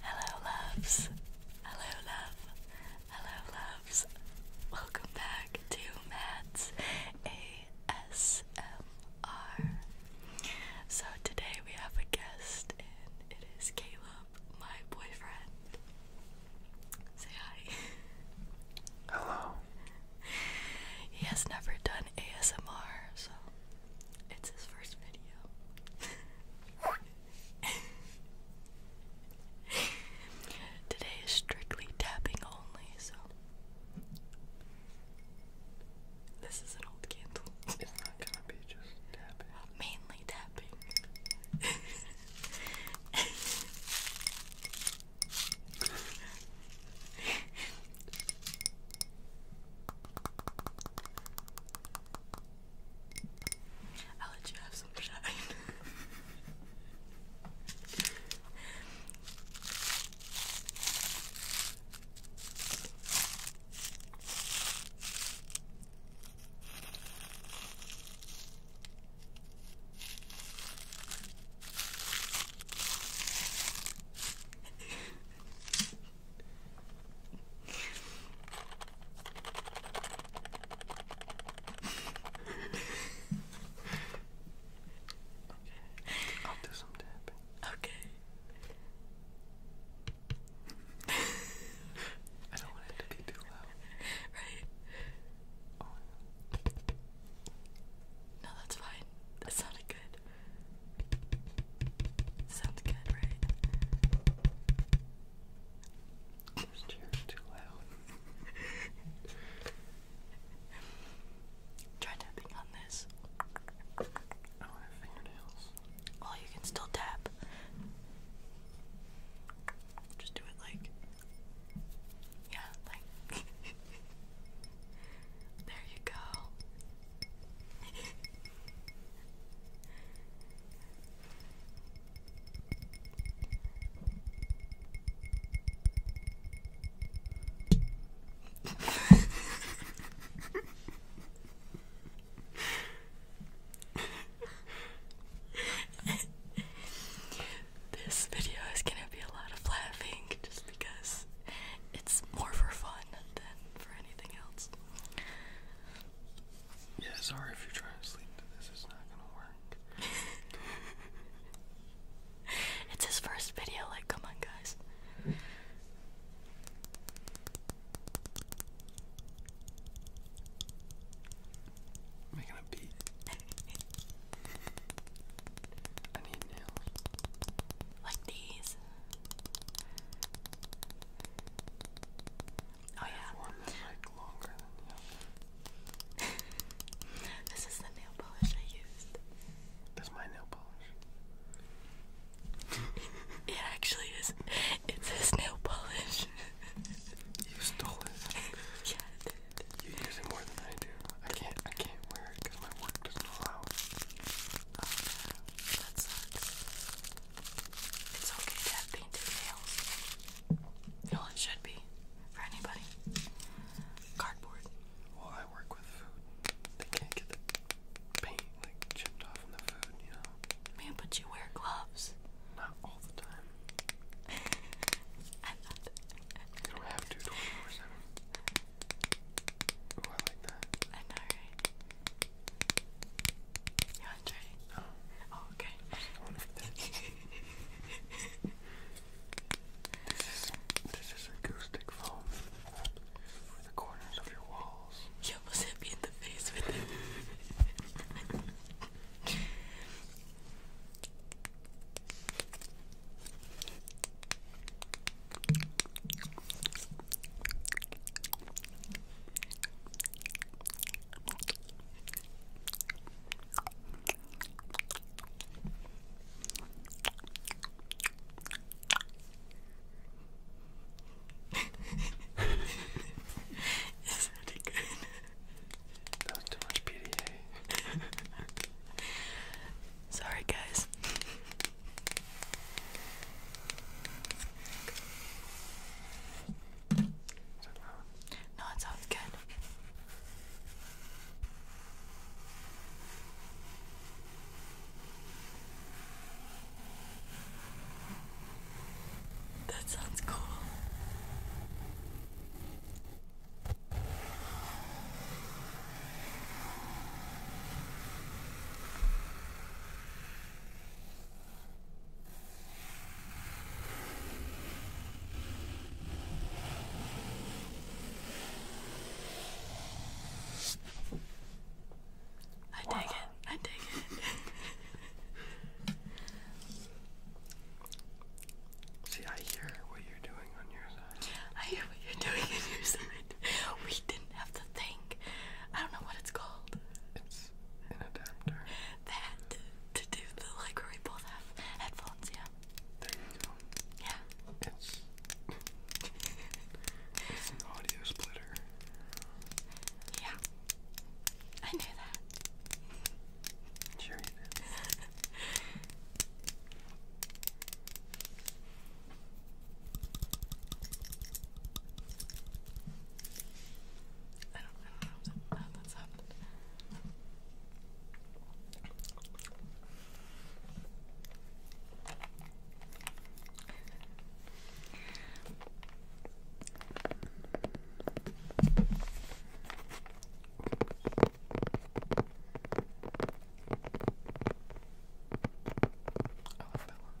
Hello, loves. Hello, love. Hello, loves. Welcome back to Matt's ASMR. So, today we have a guest, and it is Caleb, my boyfriend. Say hi. Hello. He has never done ASMR, so it's his first video. Today is strictly tapping only, so this is an old candle. It's not gonna be just tapping. Mainly tapping. I'll let you have some shine. I'll do some tapping. Okay. I don't want it to be too loud. Right. Oh, no, that's fine. That sounded good. Sounds good, right? Just cheering too loud. Try tapping on this. I do fingernails. Well, you can still tap. Just do it like. Yeah, like. there you go this video is going to be a lot of laughing just because it's more for fun than for anything. Yeah, sorry if you're trying to sleep this, it's not gonna work. it's his first video, like, come on, guys. Making a beat. I need nails. Like these. Oh yeah. this is the nail polish I used. That's my nail polish. it actually is. It's his nail polish. you stole it. yeah, I did. You use it more than I do. I can't. I can't wear it because my work doesn't allow. It. Oh, that sucks. It's okay to have painted nails. Well, it should be for anybody. Cardboard. Well, I work with food. They can't get the paint like chipped off from the food, you know. Man, but you wear gloves. Not all the time. I thought. You don't have to 24/7. Ooh, I like that. I know, you want to try it? Oh, okay. this is acoustic foam for the corners of your walls. You almost hit me in the face with it. It's pretty good. That too much PDA. Sorry, guys. No, it sounds good. That sounds cool. I dig it. I dig it. See, I hear what you're doing on your side. I hear what you're doing on your side. We didn't have the thing. I don't know what it's called. It's an adapter. That to do the like where we both have headphones, yeah. There you go. Yeah. It's it's an audio splitter. Yeah. I knew that. Sure you did. I don't, I don't know how that sounded. I love that one.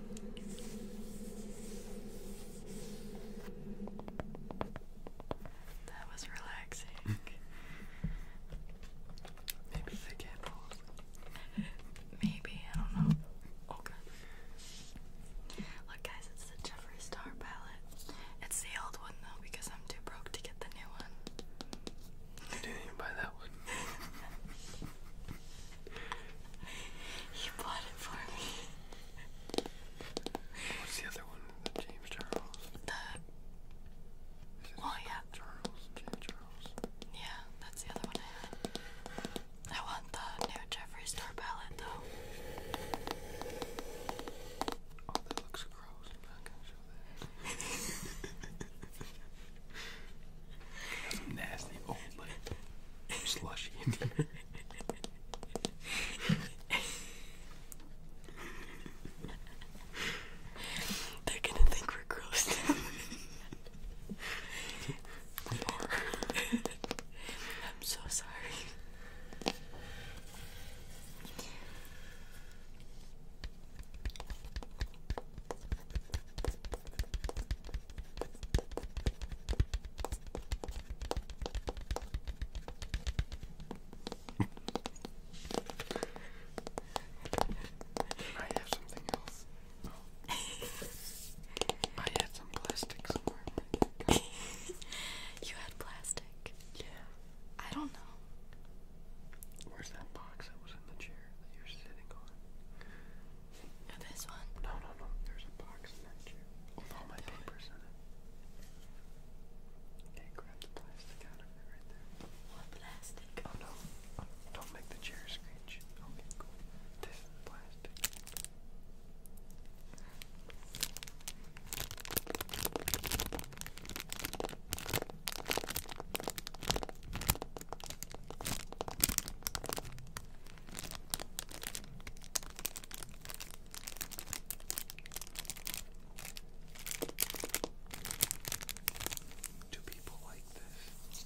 That was relaxing. Hmm. Maybe the candles. Maybe, I don't know. Okay. Look, guys, it's the Jeffree Star palette. It's the old one, though, because I'm too broke to get the new one. I didn't even buy that one. You bought it for me. What's the other one? James Charles? The. Oh, yeah. Charles. James Charles. Yeah, that's the other one I want the new Jeffree Star palette, though. Oh, that looks gross. Got some nasty old slushy in here. They're gonna think we're gross I'm so sorry. I have something else. Oh. I had some plastic somewhere. you had plastic? Yeah. I don't know. Where's that box that was in the chair that you're sitting on? this one? No, no, no. There's a box in that chair with all my papers in it. Okay, grab the plastic out of it right there. What plastic? Oh no. Oh, don't make the chair screech. Okay, cool. This plastic. Do people like this?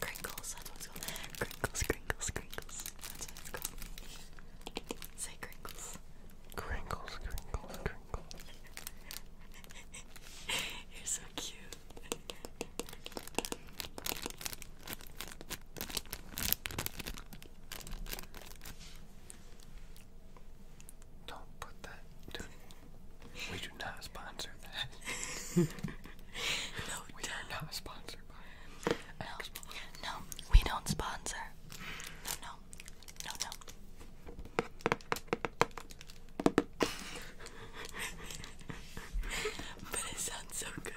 Crinkles, that's what called. Crinkles, crinkles, crinkles. That's what it's called. Say crinkles. Crinkles, crinkles, crinkles. You're so cute. Don't put that. Do, we do not sponsor that. no, we don't. are no, we don't sponsor. No, no, no, no. but it sounds so good.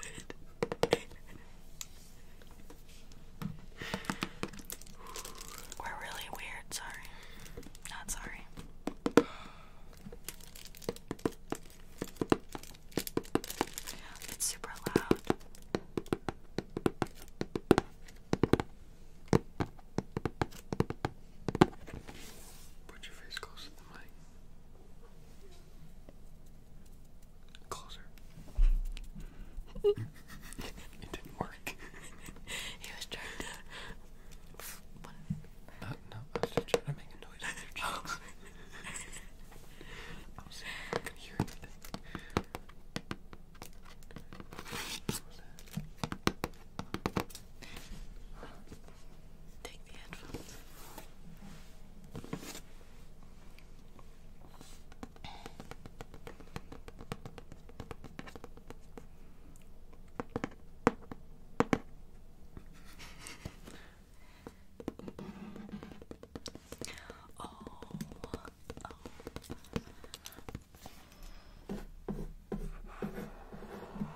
We're really weird, sorry. Not sorry. It's super loud. Put your face close the mic. Closer. it didn't work. he was trying to. What? Uh, no, I was trying to make a noise with oh. I was saying I Take the headphones. oh,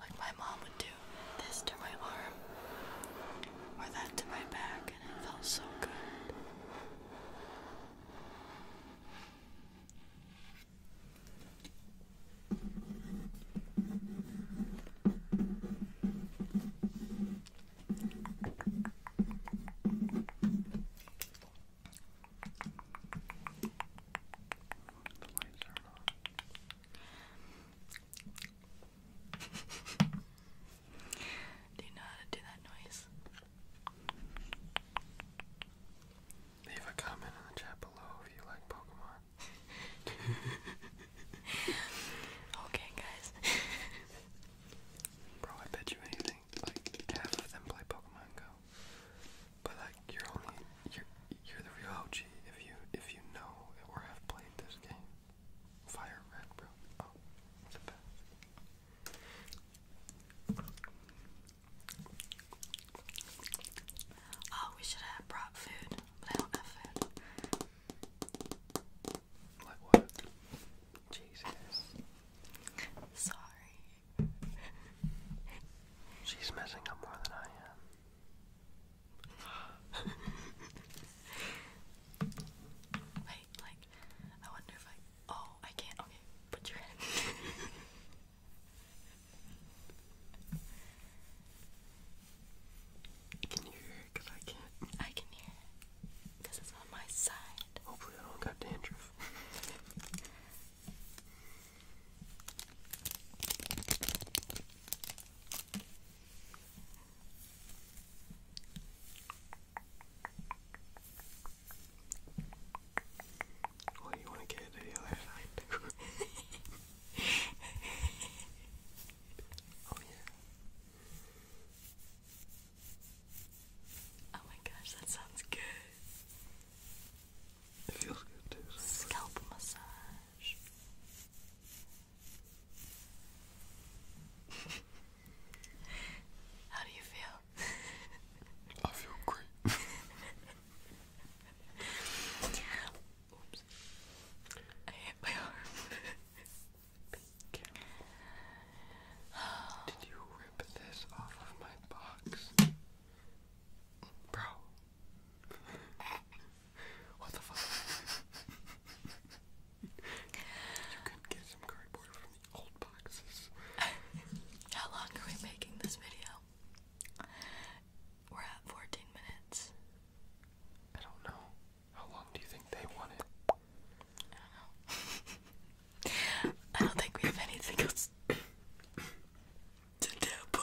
like my mom would do this to my arm or that to my back, and it felt so good. The lights are on. do you know how to do that noise? Leave a comment in the chat below if you like Pokemon. okay, guys. Bro, I bet you anything. Like half of them play Pokemon Go. But like you're only you're the real OG if you if you know or have played this game. Fire red, bro. Oh, oh, we should have brought food, but I don't have food. Like what? Jesus. Sorry. She's messing up more than I am. Wait, like, I wonder if I. Oh, I can't. Okay, put your head. can you hear it? Because I can't. I can hear it. Because it's on my side. Hopefully, I don't got dandruff. Well, oh, you want to get to the other side. oh yeah. Oh my gosh, that sounds good. It Scalp massage. How do you feel? I feel great. Did you rip this off my box? Bro. what the fuck? you could get some cardboard from the old boxes. How long are we making this video? We're at 14 minutes. I don't know. How long do you think they want I don't know. I don't think we have anything else to tap on.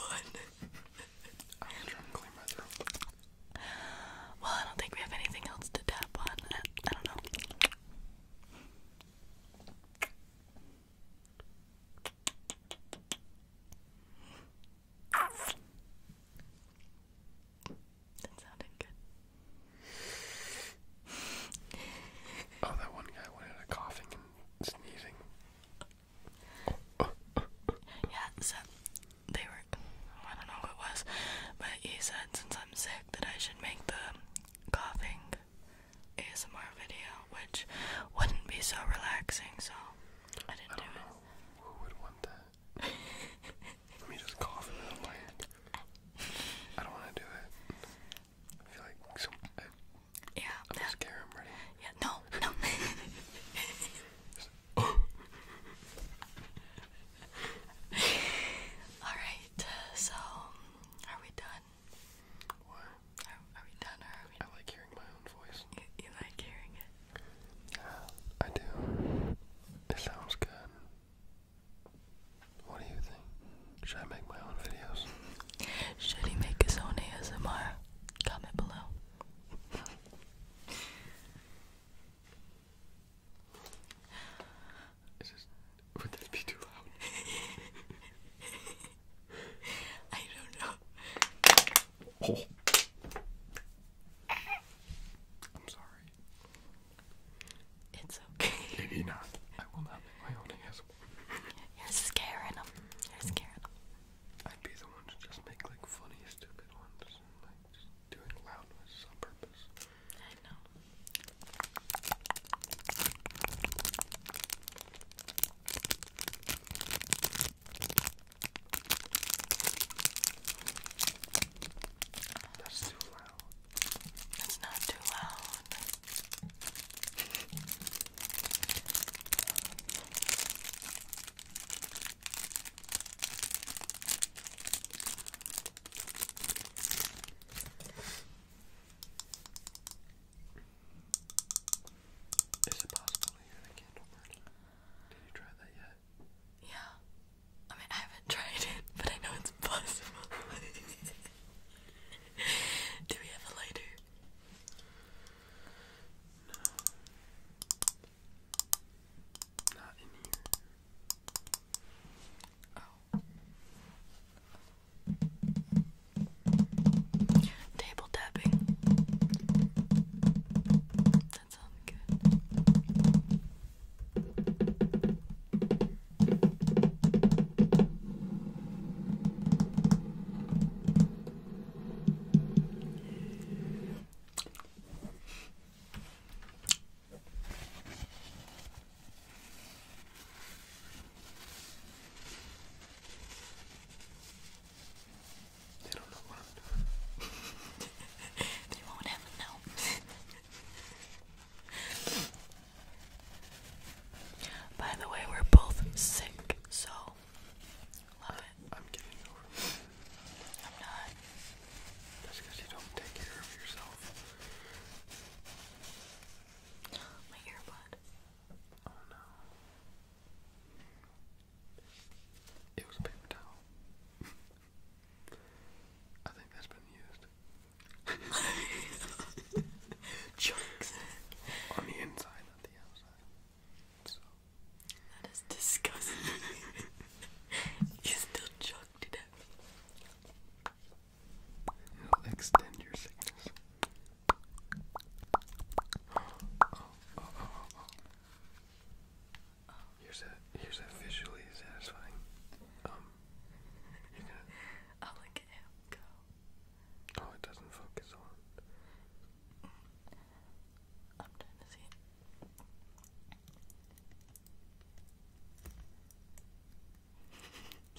i Well, I don't think we have anything else to tap on. I, don't know. That sounded good. Oh, that one guy went into coughing and sneezing yeah, so they were, I don't know who it was, but he said since I'm sick that I should make the coughing ASMR video, which wouldn't be so relaxing, so I didn't do it. Who would want that? Let me just cough in the light. I don't want to do it. I feel like I, yeah. i yeah. I'm ready. Yeah. No. No. All right. So, are we done? Are, we done, are we? I like hearing my own voice. you like hearing it? Yeah, I do. It sounds good. What do you think? Should I make my own videos? Should he make his own ASMR? Comment below. Is this, would this be too loud? I don't know. Oh. I'm sorry. It's okay. Maybe not. I will not make my own ASMR. You're scaring them. You're scaring them. I'd be the one to just make like funny, stupid ones like just doing loudness on purpose. I know. That's too loud. That's not too loud. Is it possible to hear the candle Did you try that yet? Yeah. I mean, I haven't tried it, but I know it's possible. Do we have a lighter? No. Not Table tapping. That sounds good. They don't know what I'm doing. they won't ever know. By the way, we're both sick, so love it. I'm getting over it. I'm not. That's because you don't take care of yourself. My earbud. Oh no. It was a paper towel. I think that's been used. Chunks. On the inside, that is disgusting. you still chugged it at me. It'll extend your sickness. Here's a here's a visually satisfying. Um, I'll look at him go. Oh, it doesn't focus on. I'm trying to see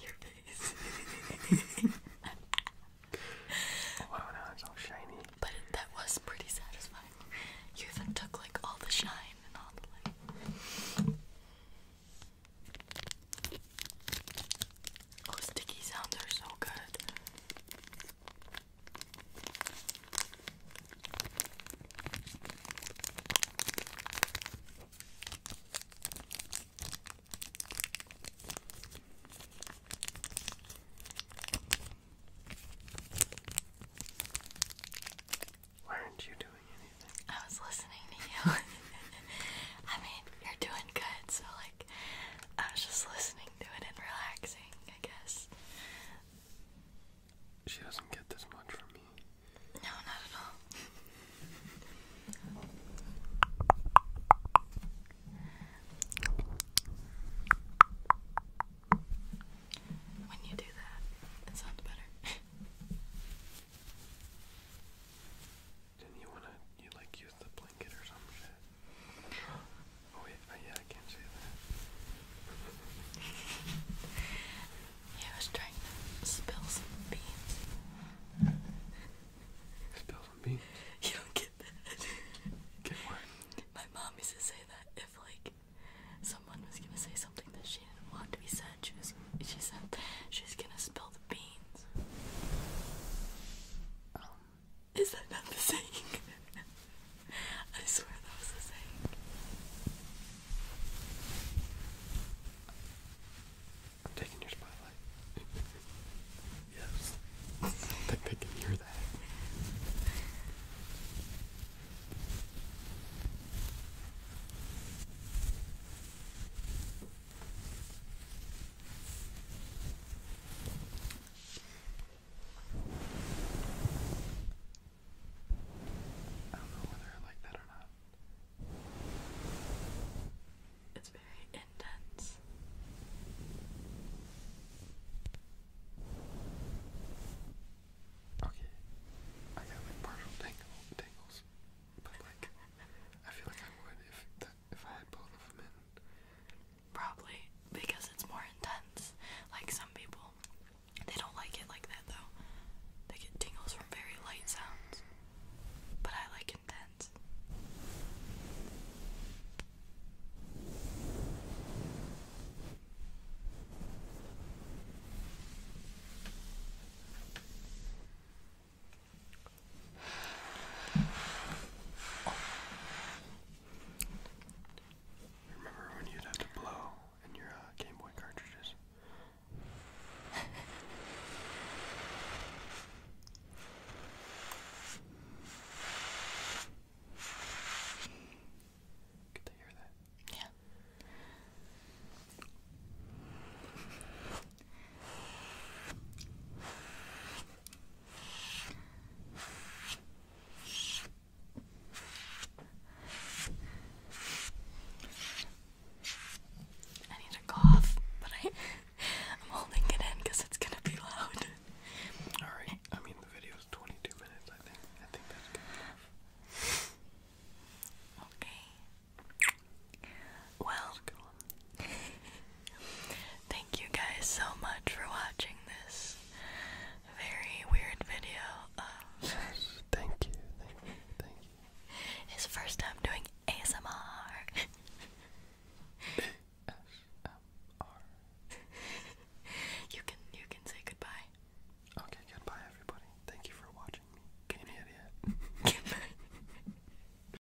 it. Your face. oh, all shiny. But that was pretty satisfying. You even took like all the shine and all the Oh, sticky sounds are so good. Why aren't you doing anything? I was listening to you. I mean, you're doing good, so like I was just listening to it and relaxing, I guess. She doesn't get this much from me. No, not at all. When you do that, it sounds better. did you wanna you like use the blanket or some shit? Oh wait, oh, yeah, I can't say that. yeah, I was trying to spill some beans. Spill some beans? You don't get that. Get what? My mom used to say that if like someone was gonna say something that she didn't want to be said, she was she said she's gonna spill the beans. Um, is that not the same? I swear that was the saying. I'm taking your spotlight. yes. I think they can hear that. I don't know whether I like that or not. It's very intense. Okay, I got like partial tangle, tangles, but like I feel like I would if the, if I had both of them in. Probably because it's more intense. Like some people, they don't like it like that though. They get tingles from very light sounds. But I like intense. Remember when you'd have to blow in your uh, Game Boy cartridges? Good to hear that. Yeah. I need to cough, but I, I'm holding it in because it's gonna be loud. Alright, I mean the video is 22 minutes, I think. I think that's good. Okay. Well, thank you guys so much for watching this very weird video. thank you, thank you, thank you. His first time doing ASMR. ASMR. you can you can say goodbye. Okay, goodbye everybody. Thank you for watching me. Can you idiot?